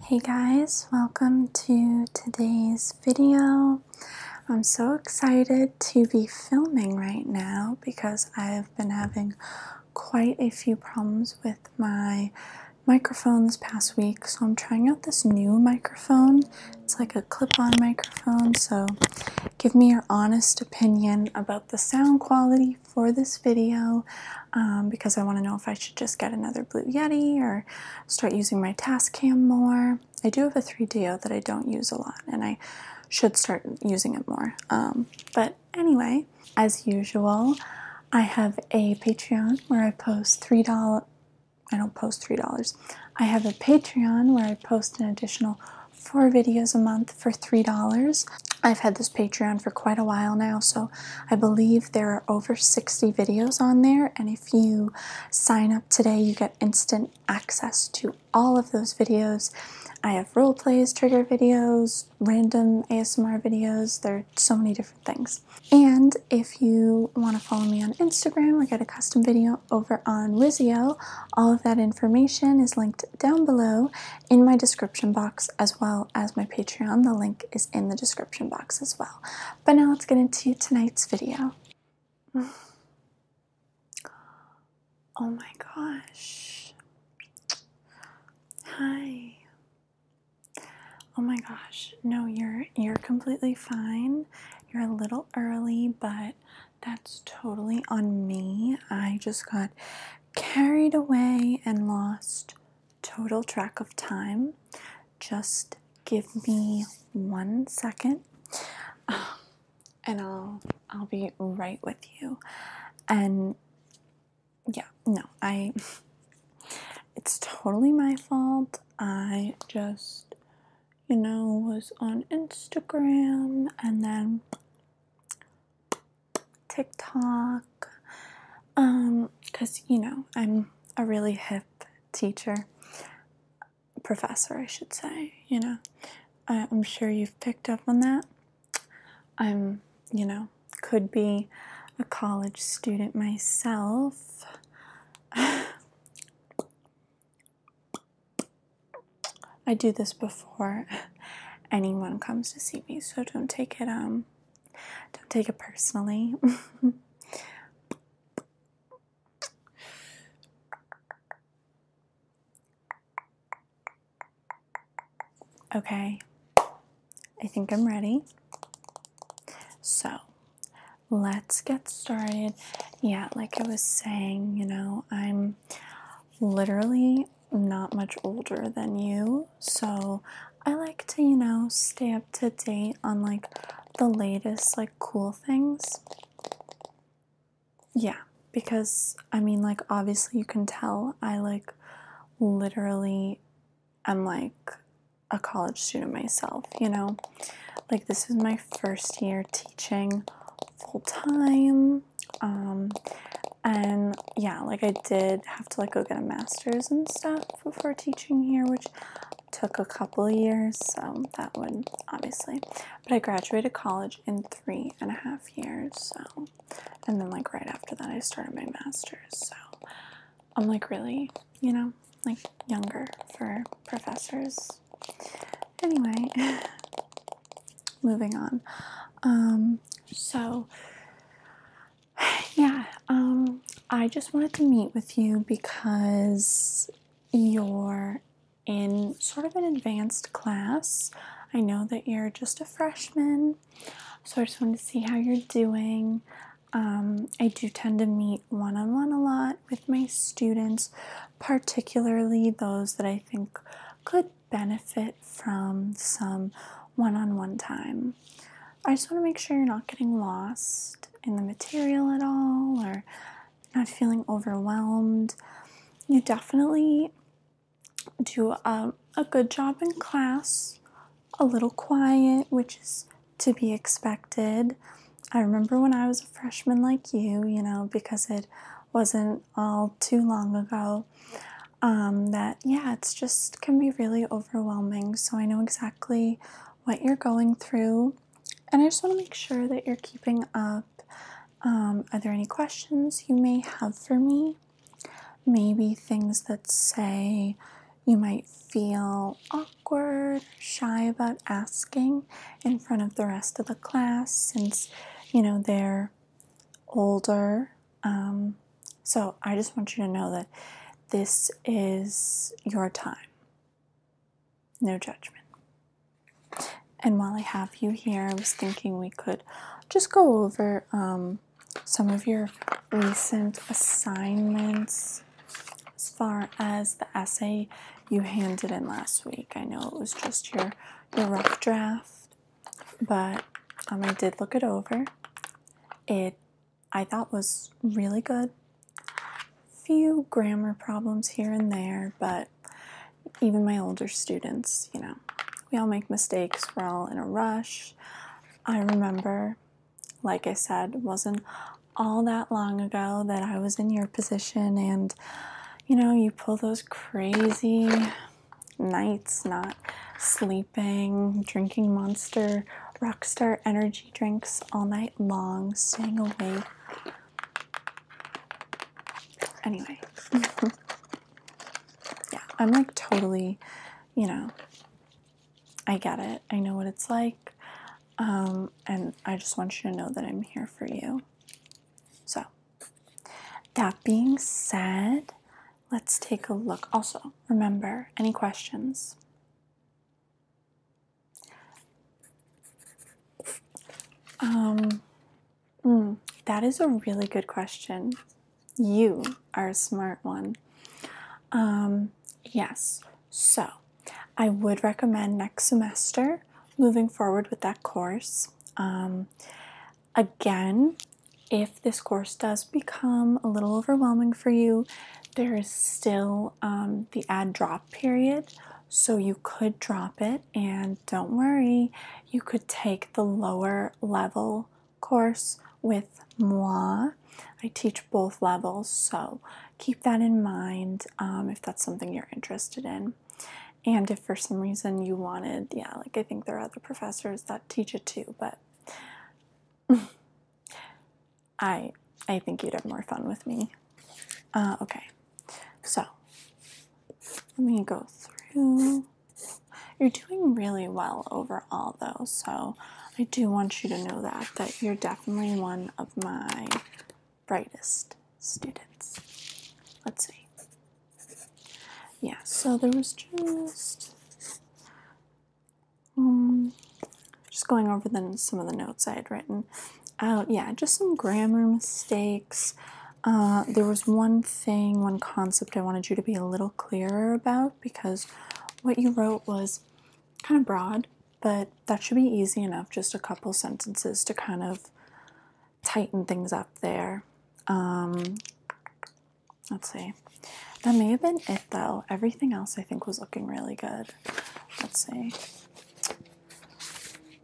Hey guys, welcome to today's video. I'm so excited to be filming right now because I've been having quite a few problems with my microphone this past week. So I'm trying out this new microphone. It's like a clip-on microphone. So give me your honest opinion about the sound quality for this video. Um, because I want to know if I should just get another Blue Yeti or start using my task cam more. I do have a 3DO that I don't use a lot and I should start using it more. Um, but anyway, as usual, I have a Patreon where I post $3. I don't post $3. I have a Patreon where I post an additional four videos a month for $3. I've had this Patreon for quite a while now, so I believe there are over 60 videos on there, and if you sign up today, you get instant access to all of those videos. I have role plays, trigger videos, random ASMR videos, there are so many different things. And if you want to follow me on Instagram I get a custom video over on Wizio, all of that information is linked down below in my description box as well as my Patreon. The link is in the description box as well. But now let's get into tonight's video. Oh my gosh. Hi. Oh my gosh. No, you're you're completely fine. You're a little early, but that's totally on me. I just got carried away and lost total track of time. Just give me one second, and I'll I'll be right with you. And yeah, no, I. It's totally my fault. I just, you know, was on Instagram and then TikTok, um, because you know I'm a really hip teacher, professor, I should say. You know, I, I'm sure you've picked up on that. I'm, you know, could be a college student myself. I do this before anyone comes to see me, so don't take it um don't take it personally. okay, I think I'm ready. So let's get started. Yeah, like I was saying, you know, I'm literally not much older than you, so I like to, you know, stay up to date on like the latest, like cool things. Yeah, because I mean, like, obviously, you can tell I like literally i am like a college student myself, you know, like, this is my first year teaching full time. Um, and yeah, like I did have to like go get a master's and stuff before teaching here, which took a couple years, so that would obviously. But I graduated college in three and a half years, so and then like right after that I started my master's, so I'm like really, you know, like younger for professors. Anyway, moving on. Um, so, yeah, um, I just wanted to meet with you because you're in sort of an advanced class. I know that you're just a freshman, so I just wanted to see how you're doing. Um, I do tend to meet one on one a lot with my students, particularly those that I think could benefit from some one on one time. I just want to make sure you're not getting lost in the material at all or not feeling overwhelmed. You definitely do um, a, good job in class, a little quiet, which is to be expected. I remember when I was a freshman like you, you know, because it wasn't all too long ago. Um, that yeah it's just can be really overwhelming so i know exactly what you're going through and i just want to make sure that you're keeping up um, are there any questions you may have for me maybe things that say you might feel awkward shy about asking in front of the rest of the class since you know they're older um, so I just want you to know that this is your time. No judgment. And while I have you here, I was thinking we could just go over um, some of your recent assignments as far as the essay you handed in last week. I know it was just your, your rough draft but um, I did look it over. It I thought was really good. Few grammar problems here and there, but even my older students, you know, we all make mistakes. We're all in a rush. I remember, like I said, wasn't all that long ago that I was in your position, and you know, you pull those crazy nights not sleeping, drinking monster, rockstar energy drinks all night long, staying awake. Anyway, yeah, I'm like totally, you know, I get it. I know what it's like. Um, and I just want you to know that I'm here for you. So. That being said, let's take a look. Also, remember any questions? Um, hmm, that is a really good question. You are a smart one. Um, yes, so I would recommend next semester moving forward with that course. Um, Again, if this course does become a little overwhelming for you, there is still um, the add drop period, so you could drop it. And don't worry, you could take the lower level course with moi. I teach both levels, so keep that in mind um, if that's something you're interested in and if for some reason you wanted, yeah, like I think there are other professors that teach it too, but I I think you'd have more fun with me. Uh, okay, so let me go through. You're doing really well overall, though, so I do want you to know that that you're definitely one of my brightest students. Let's see. Yeah, so there was just um, just going over then some of the notes I had written out. Uh, yeah, just some grammar mistakes. Uh, there was one thing, one concept I wanted you to be a little clearer about because what you wrote was kind of broad, but that should be easy enough, just a couple sentences to kind of tighten things up there. Um, let's see. That may have been it though. Everything else I think was looking really good. Let's see.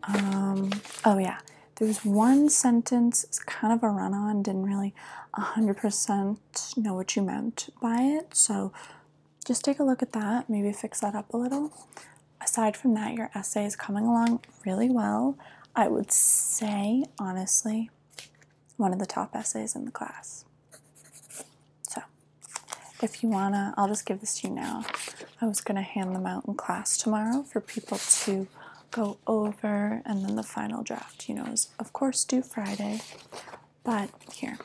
Um, oh yeah, there was one sentence, it's kind of a run on, didn't really 100% know what you meant by it. So just take a look at that, maybe fix that up a little aside from that, your essay is coming along really well. I would say, honestly, one of the top essays in the class. So, if you wanna, I'll just give this to you now. I was gonna hand them out in class tomorrow for people to go over, and then the final draft, you know, is of course due Friday. But here,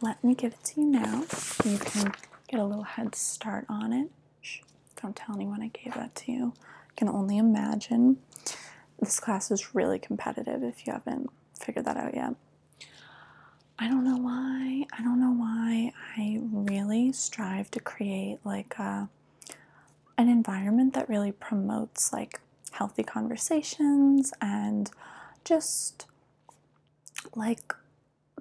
let me give it to you now. You can get a little head start on it. don't tell anyone I gave that to you. I can only imagine. This class is really competitive if you haven't figured that out yet. I don't know why. I don't know why I really strive to create like an environment that really promotes like healthy conversations and just like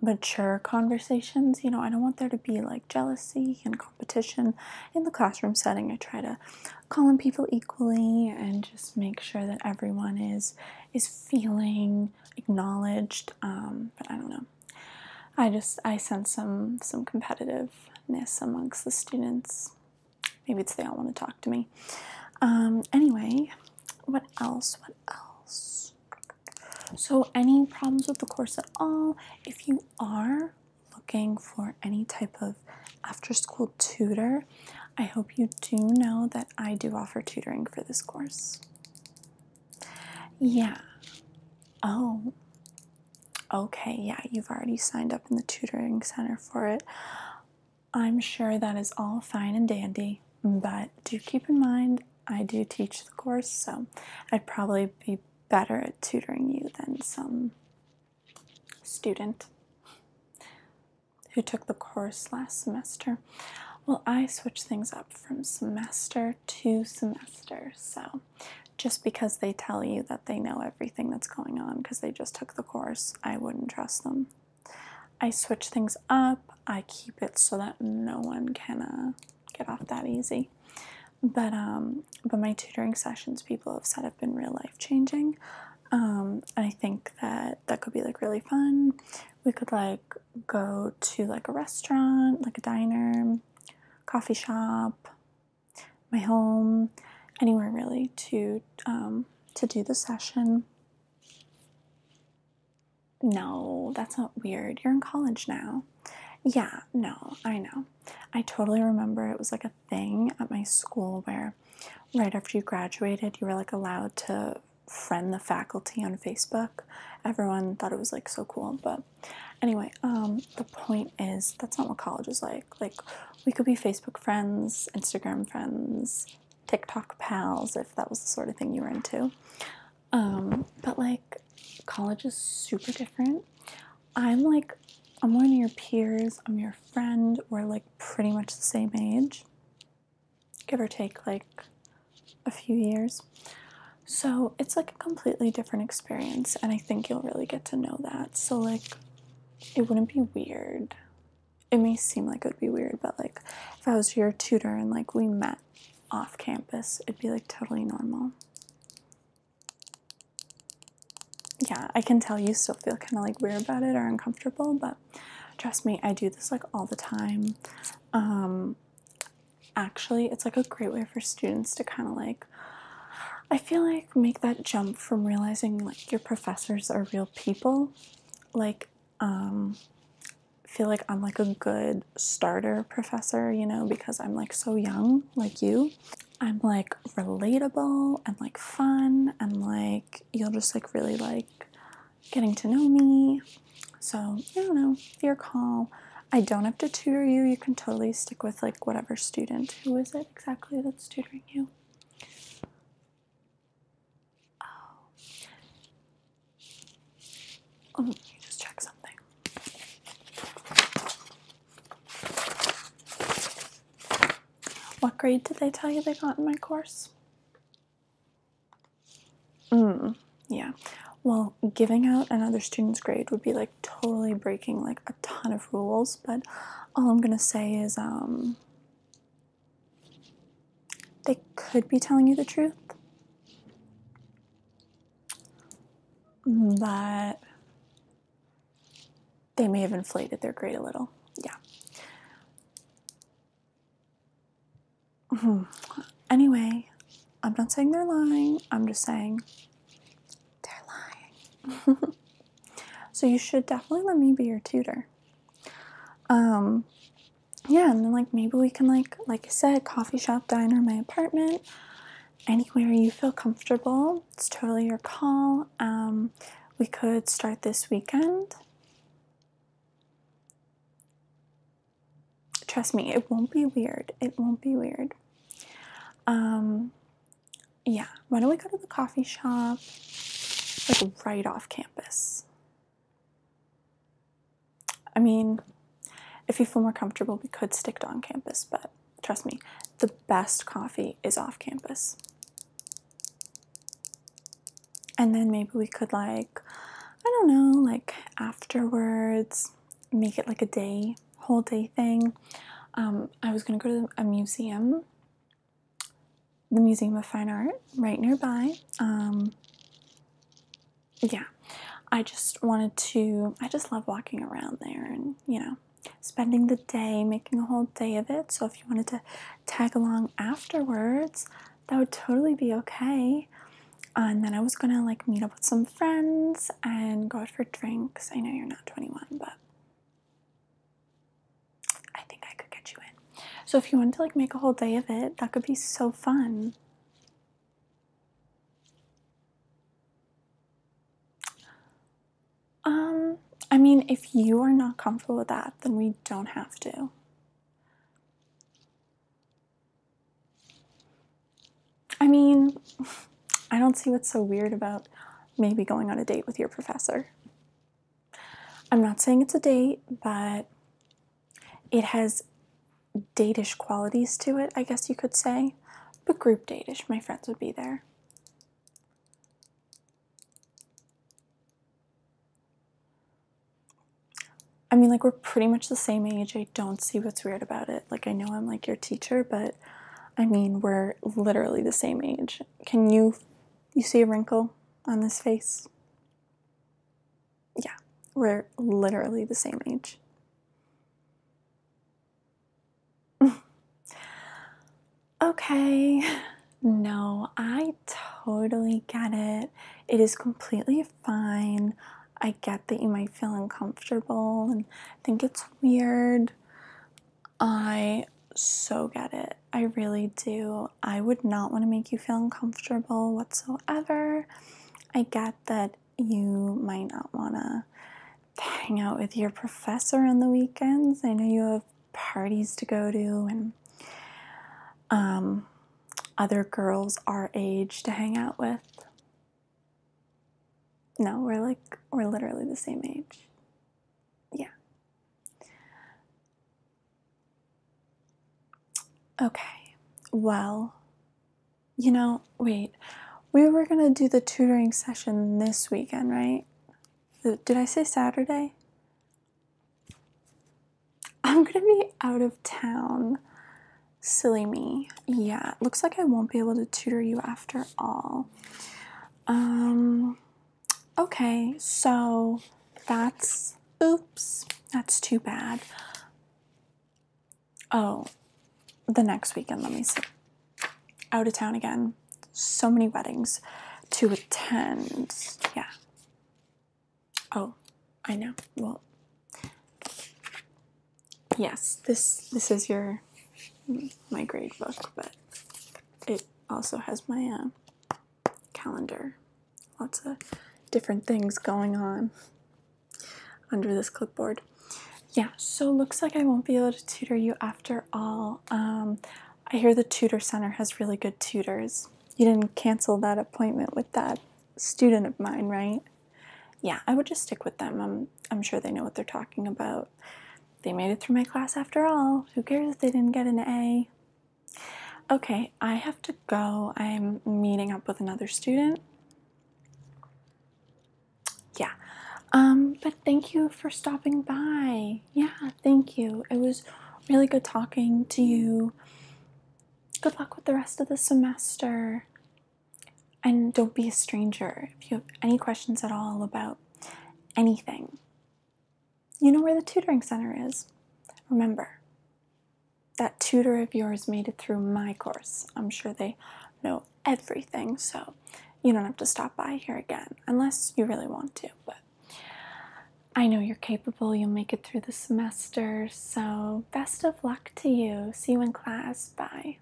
mature conversations. You know, I don't want there to be like jealousy and competition in the classroom setting. I try to call on people equally and just make sure that everyone is is feeling acknowledged. Um, but I don't know. I just I sense some some competitiveness amongst the students. Maybe it's they all want to talk to me. Um, anyway, what else? What else? So, any problems with the course at all? If you are looking for any type of after school tutor, I hope you do know that I do offer tutoring for this course. Yeah. Oh. Okay, yeah, you've already signed up in the tutoring center for it. I'm sure that is all fine and dandy, but do keep in mind I do teach the course, so I'd probably be better at tutoring you than some student who took the course last semester. Well, I switch things up from semester to semester, so just because they tell you that they know everything that's going on because they just took the course, I wouldn't trust them. I switch things up, I keep it so that no one can uh, get off that easy. But um, but my tutoring sessions, people have said, have been real life changing. Um, I think that that could be like really fun. We could like go to like a restaurant, like a diner, coffee shop, my home, anywhere really to um, to do the session. No, that's not weird. You're in college now. Yeah, no, I know. I totally remember it was like a thing at my school where right after you graduated, you were like allowed to friend the faculty on Facebook. Everyone thought it was like so cool, but anyway, um the point is that's not what college is like. Like we could be Facebook friends, Instagram friends, TikTok pals if that was the sort of thing you were into. Um, but like college is super different. I'm like I'm one of your peers, I'm your friend, we're like pretty much the same age. Give or take like a few years. So it's like a completely different experience and I think you'll really get to know that. So like it wouldn't be weird it may seem like it would be weird, but like if I was your tutor and like we met off campus, it'd be like totally normal. Yeah, I can tell you still feel kind of like weird about it or uncomfortable, but trust me, I do this like all the time. Um, actually, it's like a great way for students to kind of like, I feel like make that jump from realizing like your professors are real people, like um, feel like I'm like a good starter professor, you know, because I'm like so young, like you. I'm like relatable and like fun and like you'll just like really like getting to know me. So, I don't know, you're calm, I don't have to tutor you. You can totally stick with like whatever student. Who is it exactly that's tutoring you? Oh. Let me just check something. What grade did they tell you they got in my course? Mm, yeah. Well, giving out another student's grade would be like totally breaking like a ton of rules, but all I'm gonna say is um they could be telling you the truth, but they may have inflated their grade a little. Yeah. Hmm. Anyway, I'm not saying they're lying, I'm just saying they're lying. so you should definitely let me be your tutor. Um, yeah, and then like maybe we can like like I said, coffee shop, diner, my apartment, anywhere you feel comfortable. It's totally your call. Um, we could start this weekend. Trust me, it won't be weird. It won't be weird. Um, yeah, why don't we go to the coffee shop? Like right off campus. I mean, if you feel more comfortable, we could stick to on campus, but trust me, the best coffee is off campus. And then maybe we could, like, I don't know, like afterwards, make it like a day, whole day thing. Um, I was gonna go to a museum the Museum of Fine Art right nearby. Um, yeah, I just wanted to, I just love walking around there and, you know, spending the day, making a whole day of it. So if you wanted to tag along afterwards, that would totally be okay. Uh, and then I was gonna like meet up with some friends and go out for drinks. I know you're not 21, but I think I could get you in. So if you wanted to like make a whole day of it, that could be so fun. Um, I mean, if you are not comfortable with that, then we don't have to. I mean, I don't see what's so weird about maybe going on a date with your professor. I'm not saying it's a date, but it has datish qualities to it, I guess you could say. But group datish. my friends would be there. I mean, like, we're pretty much the same age. I don't see what's weird about it. Like, I know I'm like your teacher, but I mean, we're literally the same age. Can you you see a wrinkle on this face? Yeah, we're literally the same age. okay. No, I totally get it. It is completely fine. I get that you might feel uncomfortable and think it's weird. I so get it. I really do. I would not want to make you feel uncomfortable whatsoever. I get that you might not want to hang out with your professor on the weekends. I know you have parties to go to and um, other girls our age to hang out with. No, we're like, we're literally the same age. Yeah. Okay. Well, you know, wait. We were going to do the tutoring session this weekend, right? Did I say Saturday? I'm going to be out of town. Silly me. Yeah, looks like I won't be able to tutor you after all. Um, okay, so that's oops, that's too bad. Oh, the next weekend, let me see. Out of town again. So many weddings to attend. Yeah. Oh, I know. Well, yes, this this is your my grade book, but it also has my uh, calendar. Lots of different things going on under this clipboard. Yeah, so looks like I won't be able to tutor you after all. Um, I hear the tutor center has really good tutors. You didn't cancel that appointment with that student of mine, right? Yeah, I would just stick with them. I'm, I'm sure they know what they're talking about. They made it through my class after all. Who cares if they didn't get an A? Okay, I have to go. I'm meeting up with another student. Yeah. Um, but thank you for stopping by. Yeah, thank you. It was really good talking to you. Good luck with the rest of the semester. And don't be a stranger if you have any questions at all about anything. You know where the tutoring center is. Remember, that tutor of yours made it through my course. I'm sure they know everything, so you don't have to stop by here again unless you really want to. But I know you're capable, you'll make it through the semester, so best of luck to you. See you in class. Bye.